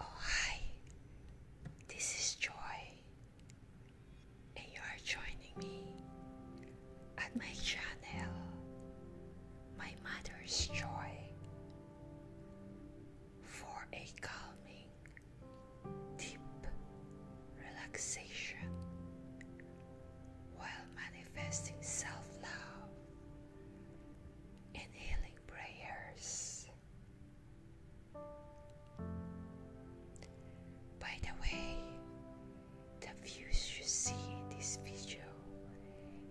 Oh, hi, this is Joy, and you are joining me at my channel, My Mother's Joy, for a calming, deep relaxation while manifesting self love and healing prayers. By the way, the views you see in this video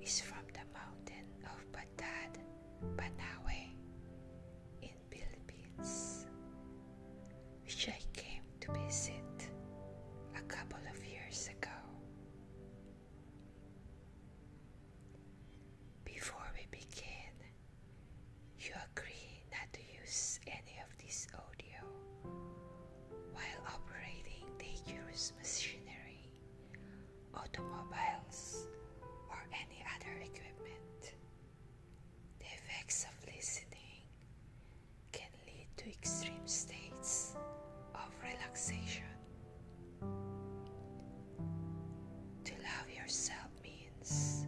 is from the mountain of Batad Banawe in Philippines, which I came to visit a couple of years ago. Before we begin, you agree not to use any of this audio while operating dangerous machinery, automobiles, or any other equipment. The effects of listening can lead to extreme states of relaxation to love yourself means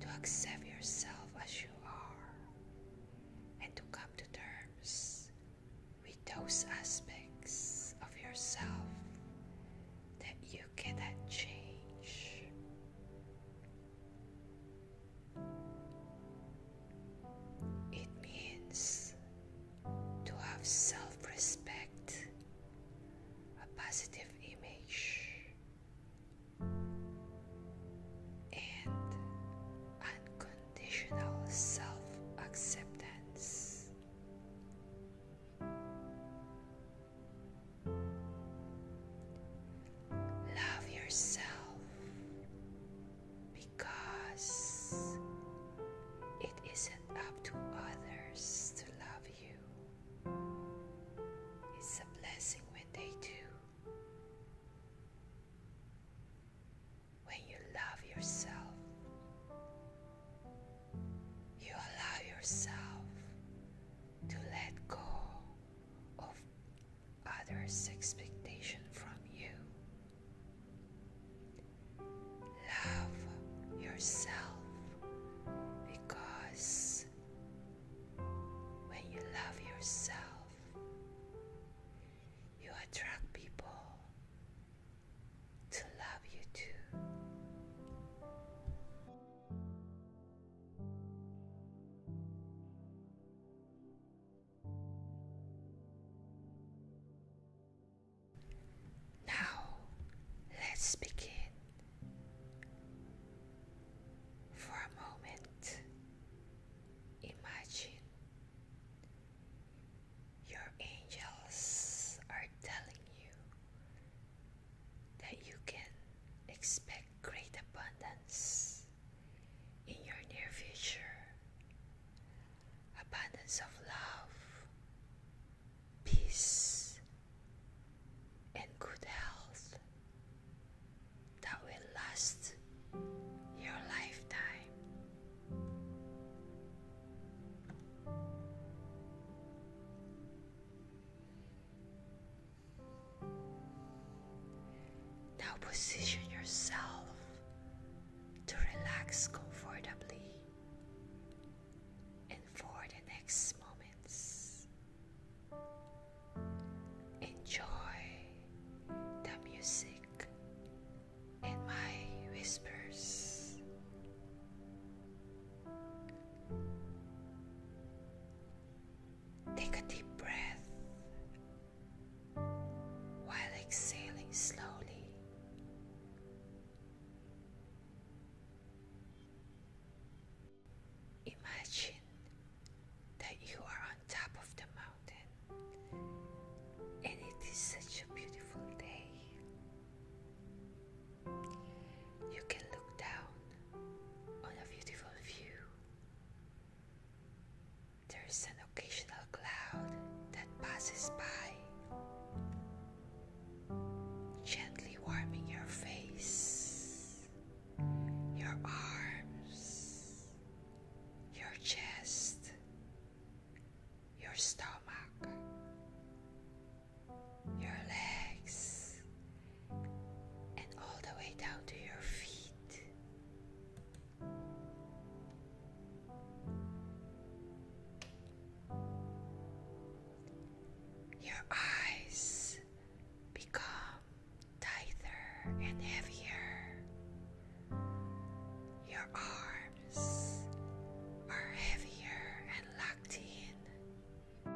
to accept yourself as you are and to come to terms with those aspects of yourself that you cannot change. It means to have self respect, a positive image, and unconditional self acceptance. Love yourself because it isn't up to others to love you. It's a blessing when they do. When you love yourself, you allow yourself to let go of others' expectation from you. Love yourself because when you love yourself, you attract people to love you too. Now, let's begin. For a moment, imagine your angels are telling you that you can expect great abundance in your near future, abundance of love, peace, and good health that will last your lifetime. Now position yourself to relax comfortably and for the next moments. Enjoy the music and my whispers. Take a deep breath while exhaling slowly. Imagine that you are on top of the mountain and it is such a beautiful day. You can look down on a beautiful view there is an occasional cloud that passes by, gently warming your face, your arms, your chest, your stomach, your legs, and all the way down to your feet. Your eyes become tighter and heavier. Your arms are heavier and locked in.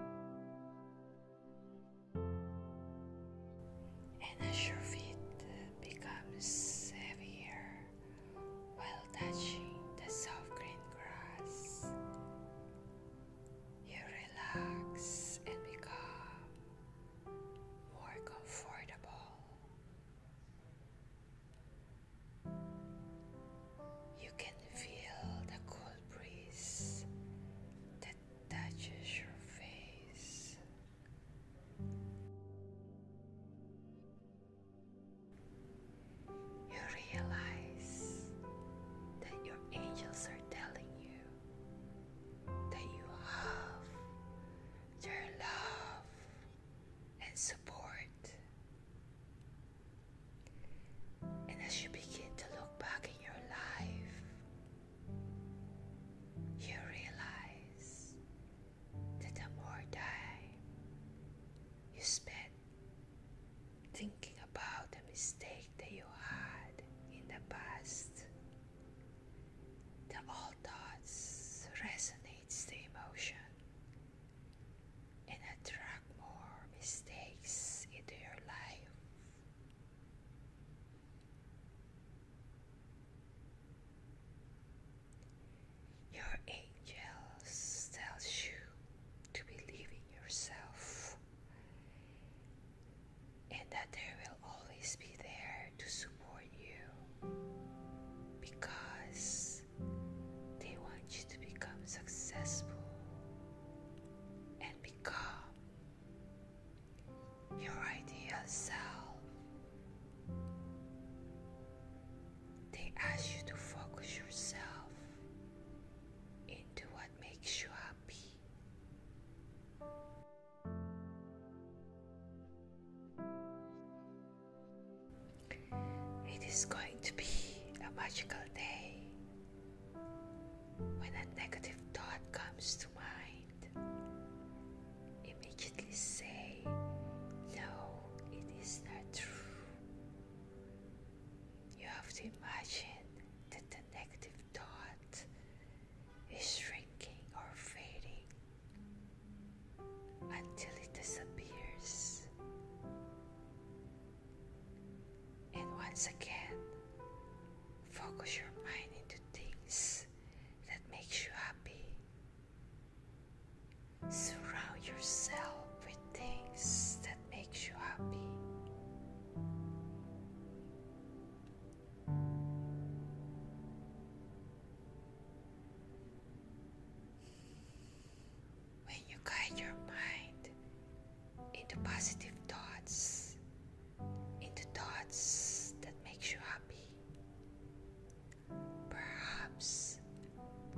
And as your feet uh, becomes heavier while touching the soft green grass, you relax and become more comfortable. You can feel the cool breeze that touches your face. You realize that your angels are telling you that you have their love and support. And as you begin to look back in your life, you realize that the more time you spend thinking about the mistake that you had in the past, the old thoughts resonates the emotion and attract more mistakes into your life. Your angels tells you to believe in yourself and that they will always be there to support you because they want you to become successful and become your ideal self. They ask you to focus yourself into what makes you happy. It is going to be a magical day. When a negative thought comes to mind, immediately say, No, it is not true. You have to imagine that the negative thought is shrinking or fading until it disappears. And once again, focus your mind into things that makes you happy. Surround yourself with things that makes you happy when you guide your mind into positive thoughts, into thoughts that makes you happy. Perhaps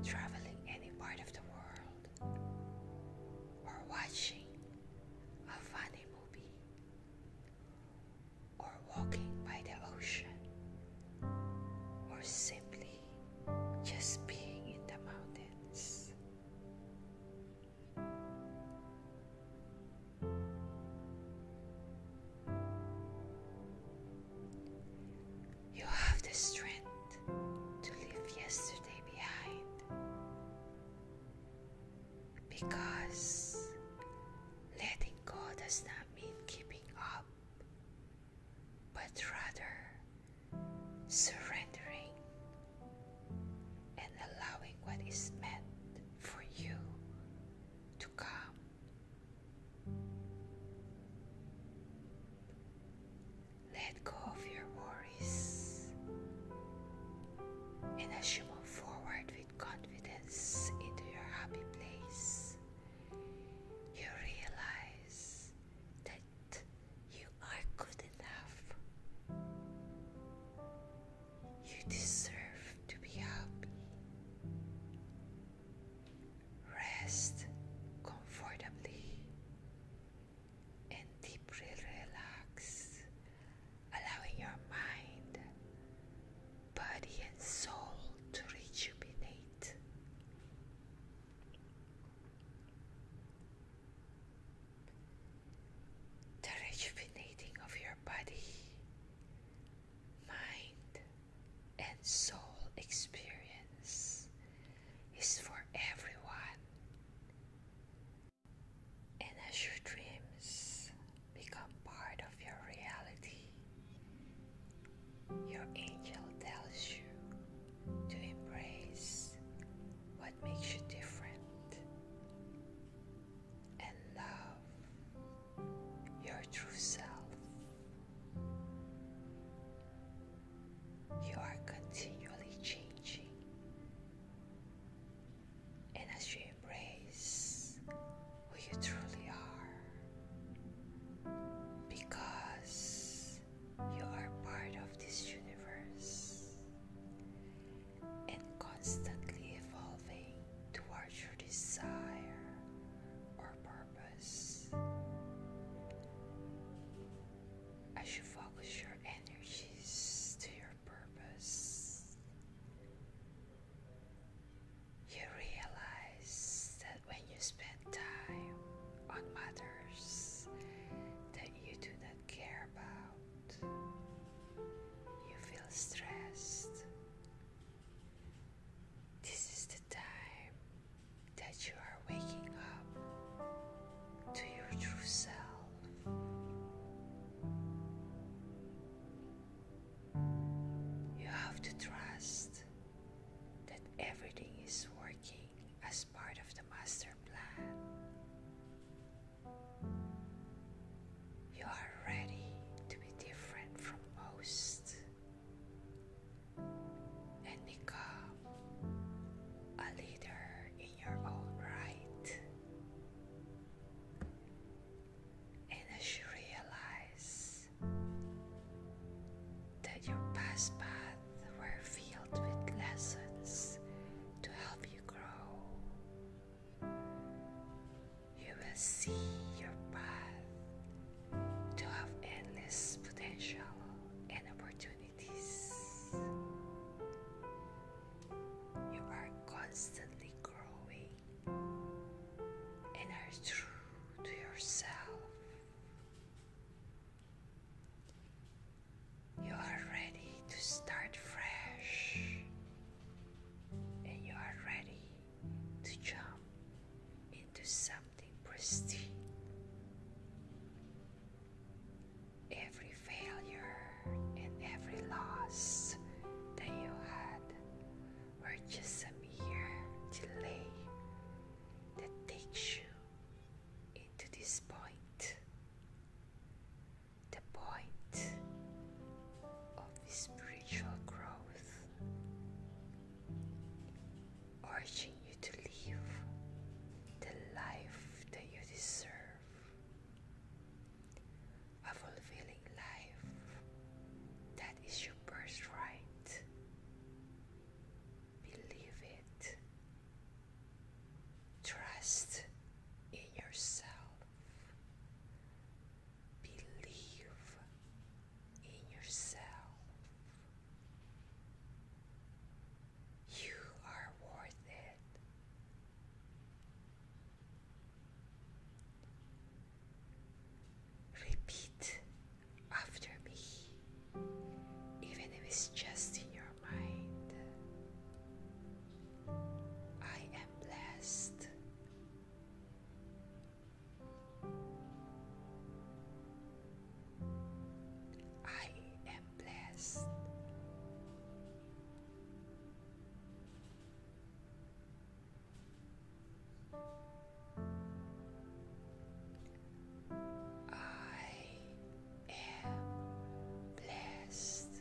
traveling any part of the world or watching a funny movie or walking by the ocean or simply just being in the mountains. You have the strength to leave yesterday behind because letting go does not mean keeping up but rather surrendering and allowing what is meant for you to come. Let go of your worries and as you move forward with confidence into your happy place, you realize that you are good enough. You deserve to be happy. Rest comfortably and deeply relax, allowing your mind, body, and soul to rejuvenate the rejuvenating of your body, mind, and soul experience is for everyone. And as your dreams become part of your reality, your angel tells you to embrace what makes you different and love your true self. You are continually changing, and as you embrace who you truly are, because you are part of this universe and constantly evolving towards your desire or purpose. As you focus your energies to your purpose, you realize that when you spend time on matters that you do not care about, you feel stressed. This is the time that you are waking up to your true self. You have to trust that everything is working as part of the master plan. You are ready to be different from most and become a leader in your own right. And as you realize that your past paths were filled with lessons to help you grow. You will see your path to have endless potential and opportunities. You are constantly growing and are true to yourself. You are ready to start fresh and you are ready to jump into something pristine. Every failure and every loss that you had we're just a mere delay that takes you into this point the point of spiritual growth, urging you to live the life that you deserve, a fulfilling life. That is your birthright. Believe it. Trust in yourself. Believe in yourself. You are worth it. Repeat after me, even if it's just in your mind. I am blessed. I am blessed. I am blessed.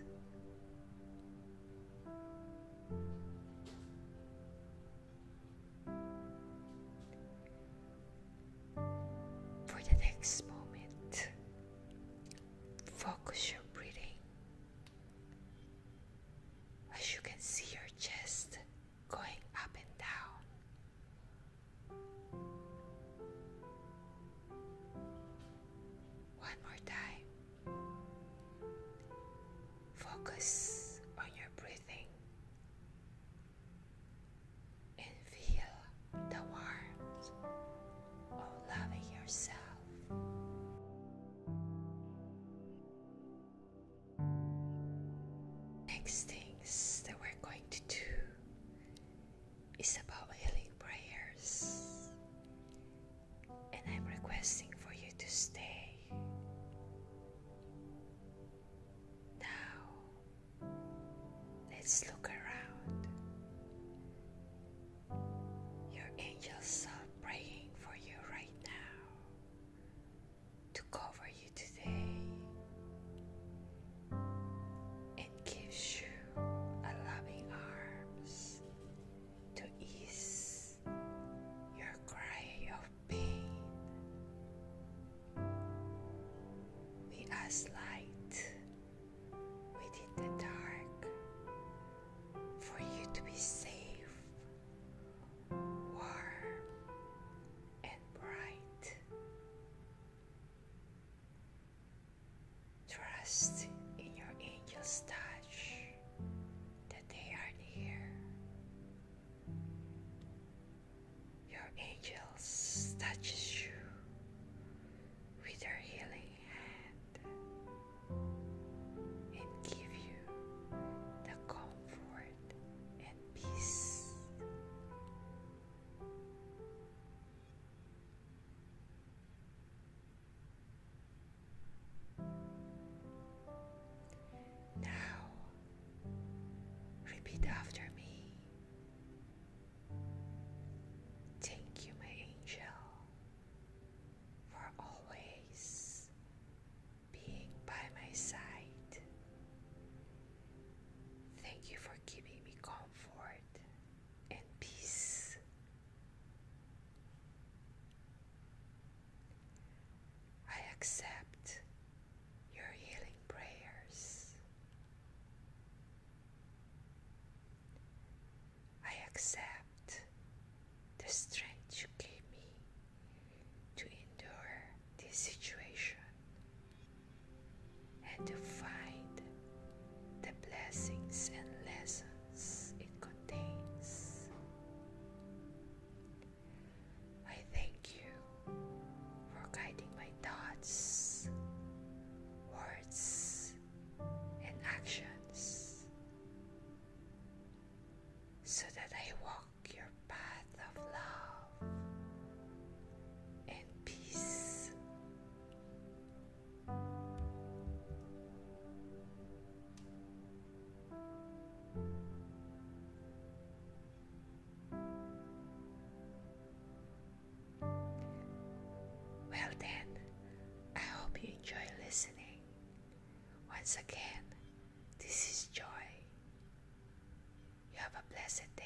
For the next moment, focus your breathing as you can see your chest going up and down. One more time. Focus on your breathing and feel the warmth of loving yourself. Next things that we're going to do is about healing prayers, and I'm requesting for you to stay. Now, let's look around. Your angels are praying for you right now to cover you today and gives you a loving arms to ease your cry of pain. We ask light within the dark for you to be safe, warm, and bright. Trust in your angel's touch that they are near. Your angels touches you with their healing and give you the comfort and peace. Now, repeat after me. Thank you, my angel for always being by my side. Thank you for giving me comfort and peace. I accept your healing prayers. I accept the strength you gave me to endure this situation and to find the blessings and lessons it contains. I thank you for guiding my thoughts, words, and actions so that I walk your path of love and peace. Well, then, I hope you enjoy listening. Once again, this is Joy. You have a blessed day.